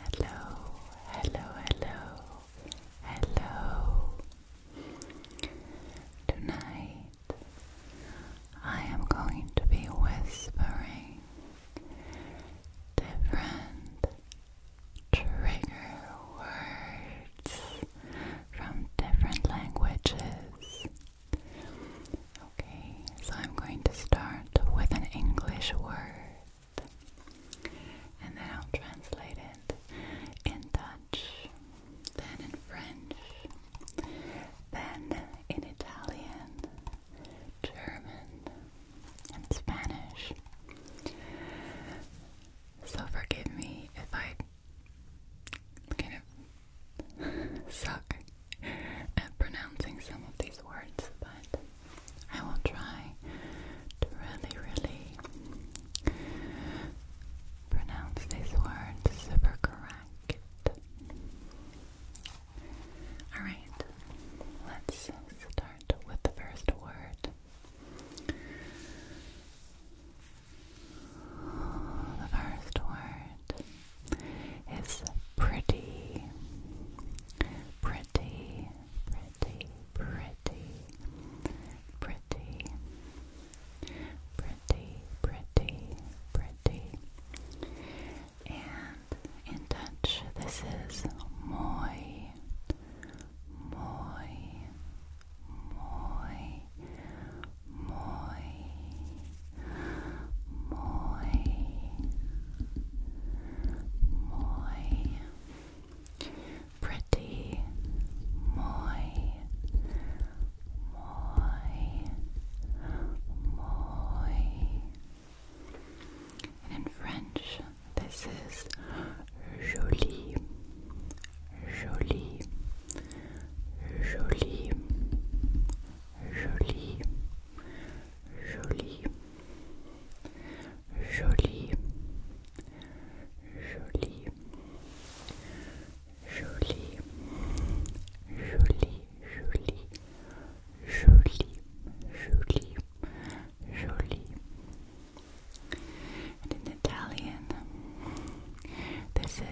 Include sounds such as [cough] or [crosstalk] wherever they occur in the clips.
Hello, hello, hello, hello. Tonight I am going to be whispering different trigger words from different languages Okay, so I'm going to start with an English word and then I'll translate it in Dutch, then in French, then in Italian, German, and Spanish. So forgive me if I kind of suck at pronouncing some of these words, but I will try to really, really pronounce these words super correct. Alright, let's start with the first word. The first word is pretty, pretty, pretty, pretty, pretty, pretty, pretty, pretty. And in Dutch, this is mooi, mooi, mooi, muy, muy, muy pretty, muy, muy, muy. in French, this is jolie, jolie, Jolie, jolie, jolie, jolie, jolie, jolie, jolie, jolie, jolie, jolie, jolie. And in Italian, this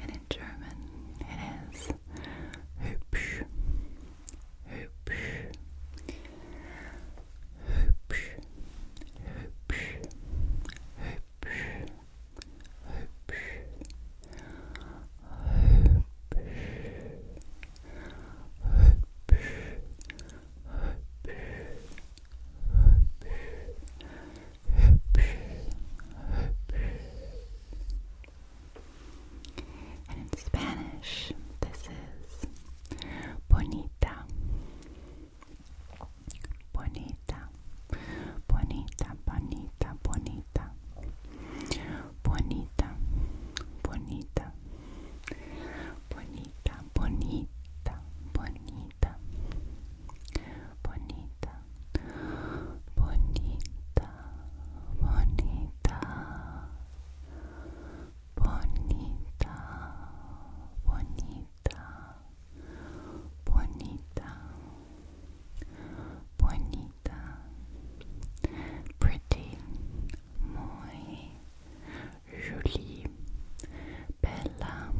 and in German it is hübsch, hübsch, hübsch, hübsch, hübsch, hübsch, hübsch. Hübsch, and in Spanish, this is bonita, bonita, bonita, bonita, bonita, bonita, bonita, bonita, bonita, bonita, bonita, bonita, bonita, bonita, bonita, bonita, bonita, bonita, pretty, muy, jolie, bella.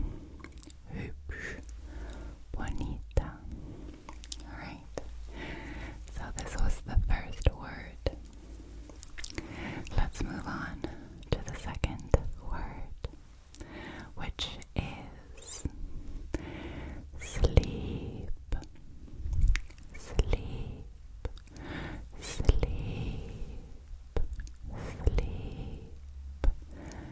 Hübsch, bonita. Alright, so this was the first word. Let's move on to the second word, which is sleep, sleep, sleep, sleep,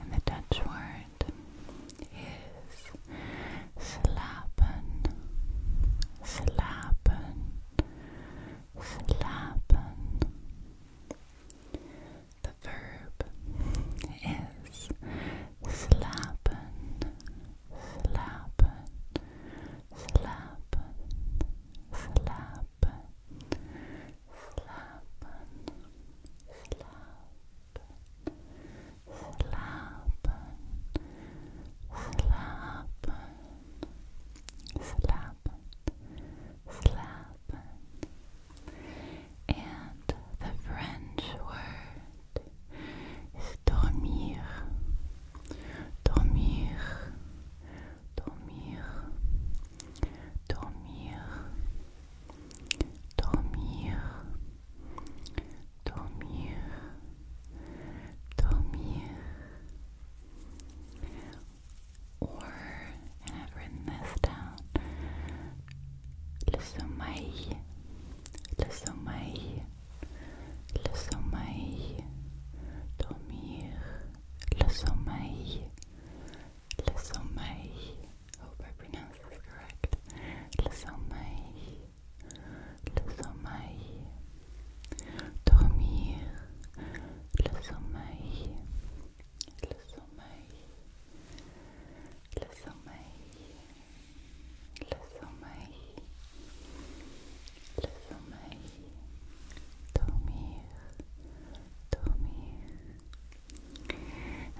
And the Dutch word is slapen, slapen, slapen. The verb is slapen, slapen, slapen, slapen slapen, slapen, slapen, slapen, slapen, slapen. And the French word is dormir, dormir dormir, dormir, dormir, dormir, dormir. Or, and I've written this down, le sommeil, le sommeil, le sommeil, dormir le sommeil, le sommeil. Hope I pronounce this correct. Le sommeil, le sommeil. Dormir, le sommeil, le sommeil, le sommeil, le sommeil. Le sommeil,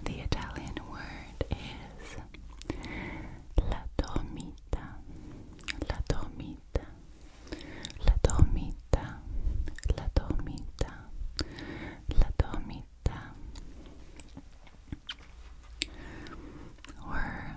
the Italian word is la dormita, la dormita, la dormita, la dormita, la dormita. Whirl,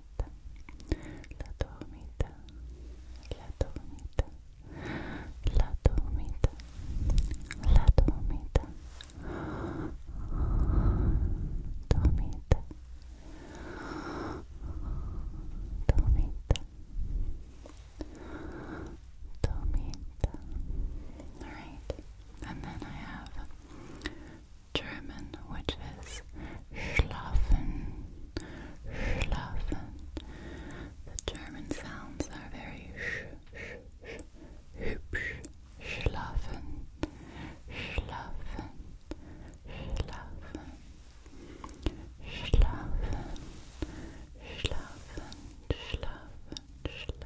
dormita, la dormita, la dormita, la dormita, la dormita, dormita, dormita, dormita. All right, and then I have German, which is schlafen, schlafen. The German sounds are very sh, sh, sh, hübsch, schlafen, schlafen, schlafen, schlafen, schlafen, schlafen, schlafen.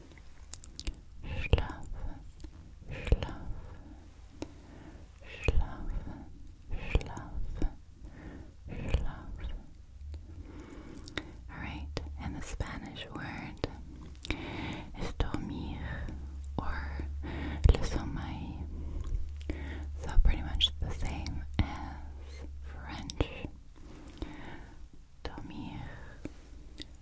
schlafen, schlafen, schlafen, schlafen, schlafen. Alright, and the Spanish word is dormir or le sommeil. So pretty much the same as French. Dormir,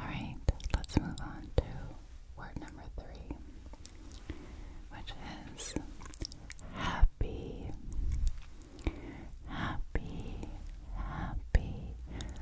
Alright, let's move on to word number three, which is happy. Happy, happy,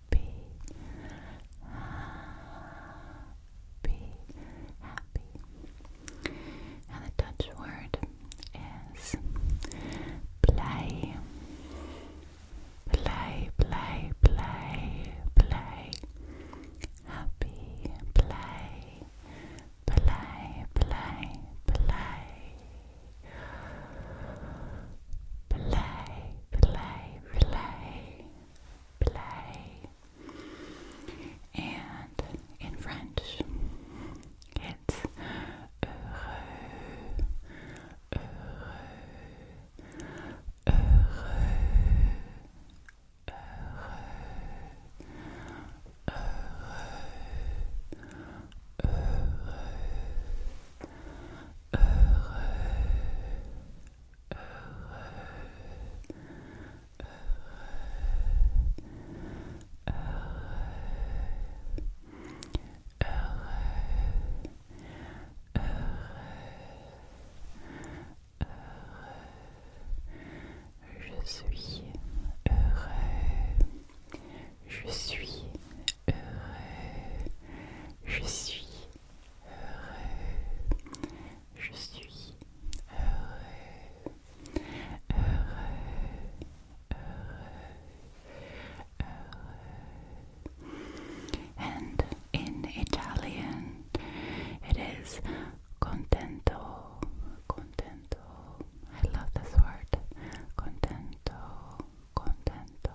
happy, happy, happy. And the Dutch word is play, play, play, play, play. Happy, play, play, play, play. Play, play, play, play. And in French, it's heureux, heureux, heureux, heureux, heureux, heureux, heureux, heureux, heureux, heureux, Je suis heureux. Je suis Je suis heureux. Je suis heureux. Heureux. Heureux. Heureux. And in Italian it is contento. Contento. I love this word. Contento. Contento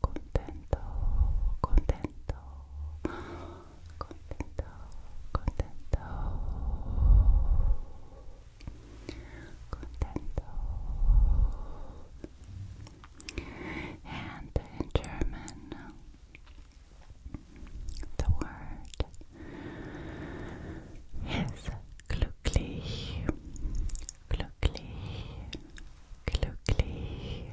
contento, contento, contento, contento, contento. And in German, the word is glücklich, glücklich, glücklich.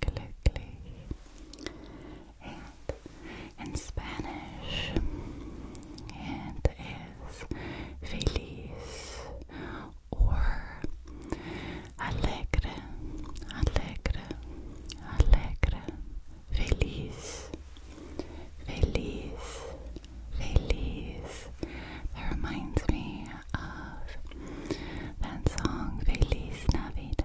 glücklich. And in Spanish, it is feliz or alegre, alegre, alegre, feliz, feliz, feliz. That reminds me of that song, Feliz Navidad.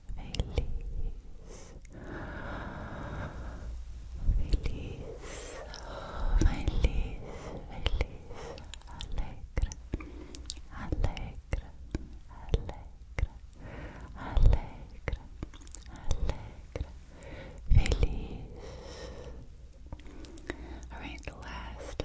feliz, feliz, feliz, feliz, alegre, alegre, alegre, alegre, alegre, feliz. All right, last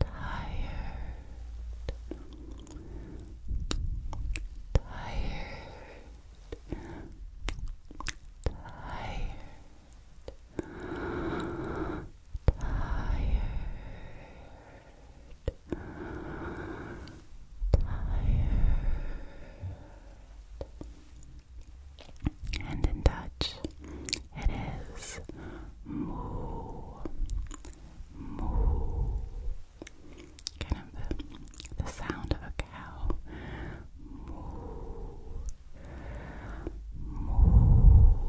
tired, tired, tired. Tired and in touch it is moo, moo. Kind of the, sound of a cow. Moo, moo, moo.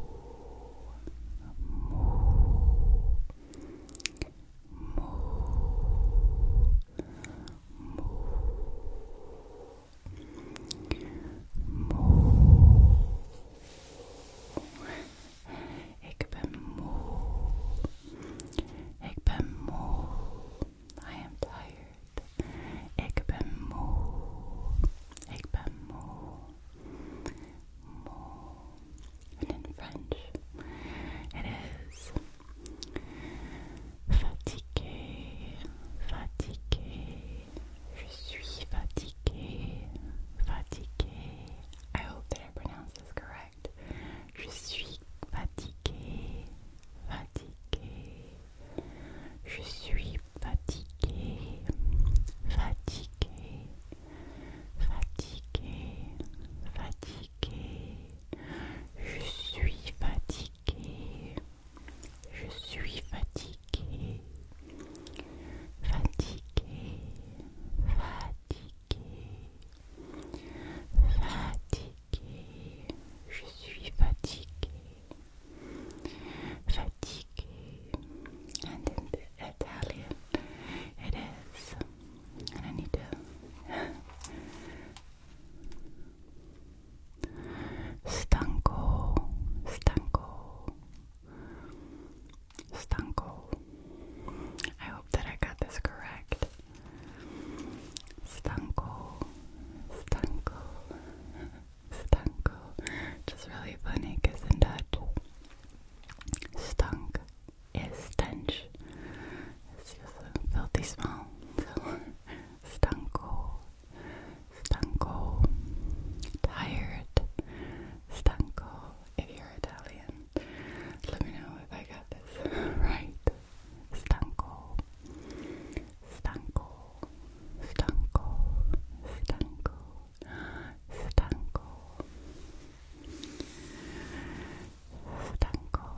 Moo, moo, Moe. Ik ben moe. Ik ben moe. I am tired. Ik ben moe. Ik ben moe. Moe. And in French, it is fatigué, fatigué, je suis fatiguée, fatiguée. I hope that I pronounce this correct. Je suis fatiguée, fatiguée. Je suis fatiguée, fatiguée, fatiguée, fatiguée. Je suis fatiguée, je suis fatiguée. Fatiguée. Fatiguée. Fatiguée. Je suis fatiguée. Fatiguée. And in the Italian And I need to Stanko, Stanko, Stanko. I hope that I got this correct. Stanko, Stanko, Stanko. Just really funny because in Dutch, stunk is stench. It's just a filthy smell. [laughs] So, stanko, stanco, tired, stanco. If you're Italian, let me know if I got this [laughs] right. Stanco, stanco, stanco, stanco, stanco, stanco, stanco.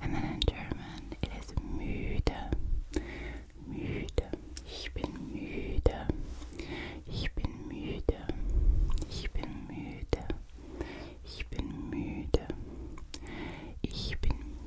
And then in German it is müde, müde, ich bin müde, ich bin müde, ich bin müde, ich bin müde, ich bin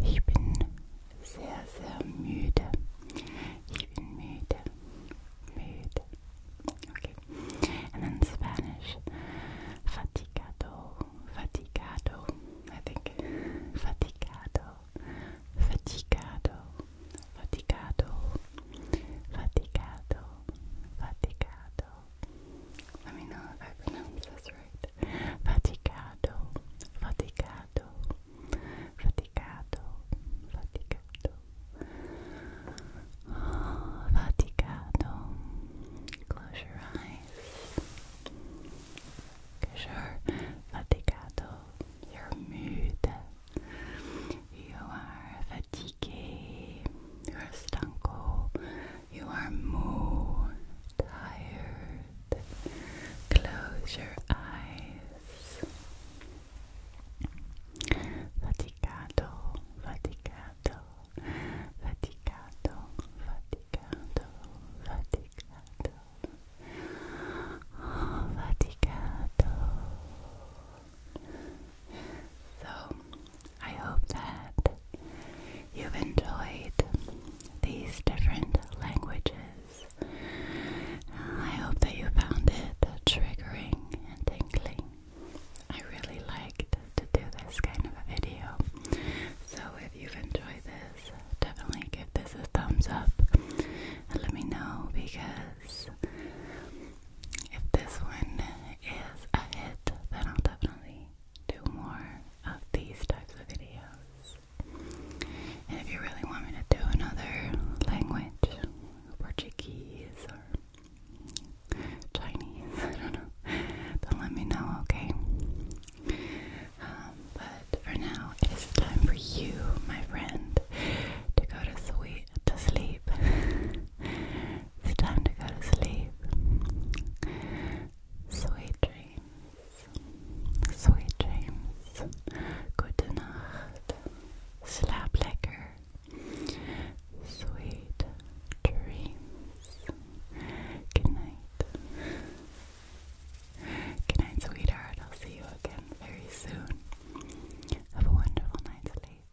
Ich bin sehr, sehr müde. Ich bin müde. Müde. Okay. And in Spanish, fatigado, fatigado. I think fatigado, fatigado, fatigado, fatigado, fatigado. Let me know if I pronounce this right. Fatigado, fatigado faticato, faticato, faticato, Close your eyes. You are fatigué. You are stanco. You are moo. Tired. Close your eyes. Faticato, faticato, faticato, faticato, faticato. Oh, So, I hope that you enjoyed these different languages. I hope that you found it triggering and tingling. I really liked to do this kind of a video. So if you've enjoyed this, definitely give this a thumbs up let me know because if this one is a hit, then I'll definitely do more of these types of videos. And if you really want me to do another language, Portuguese or Chinese, [laughs] I don't know, then let me know, okay? Um, but for now, it is time for you, my friend, to go to sleep. To sleep. [laughs] it's time to go to sleep. Sweet dreams. Sweet dreams. Gute Nacht. Slap lekker. Sweet dreams. Good night. Good night, sweetheart. I'll see you again very soon. Have a wonderful night's sleep. Bye.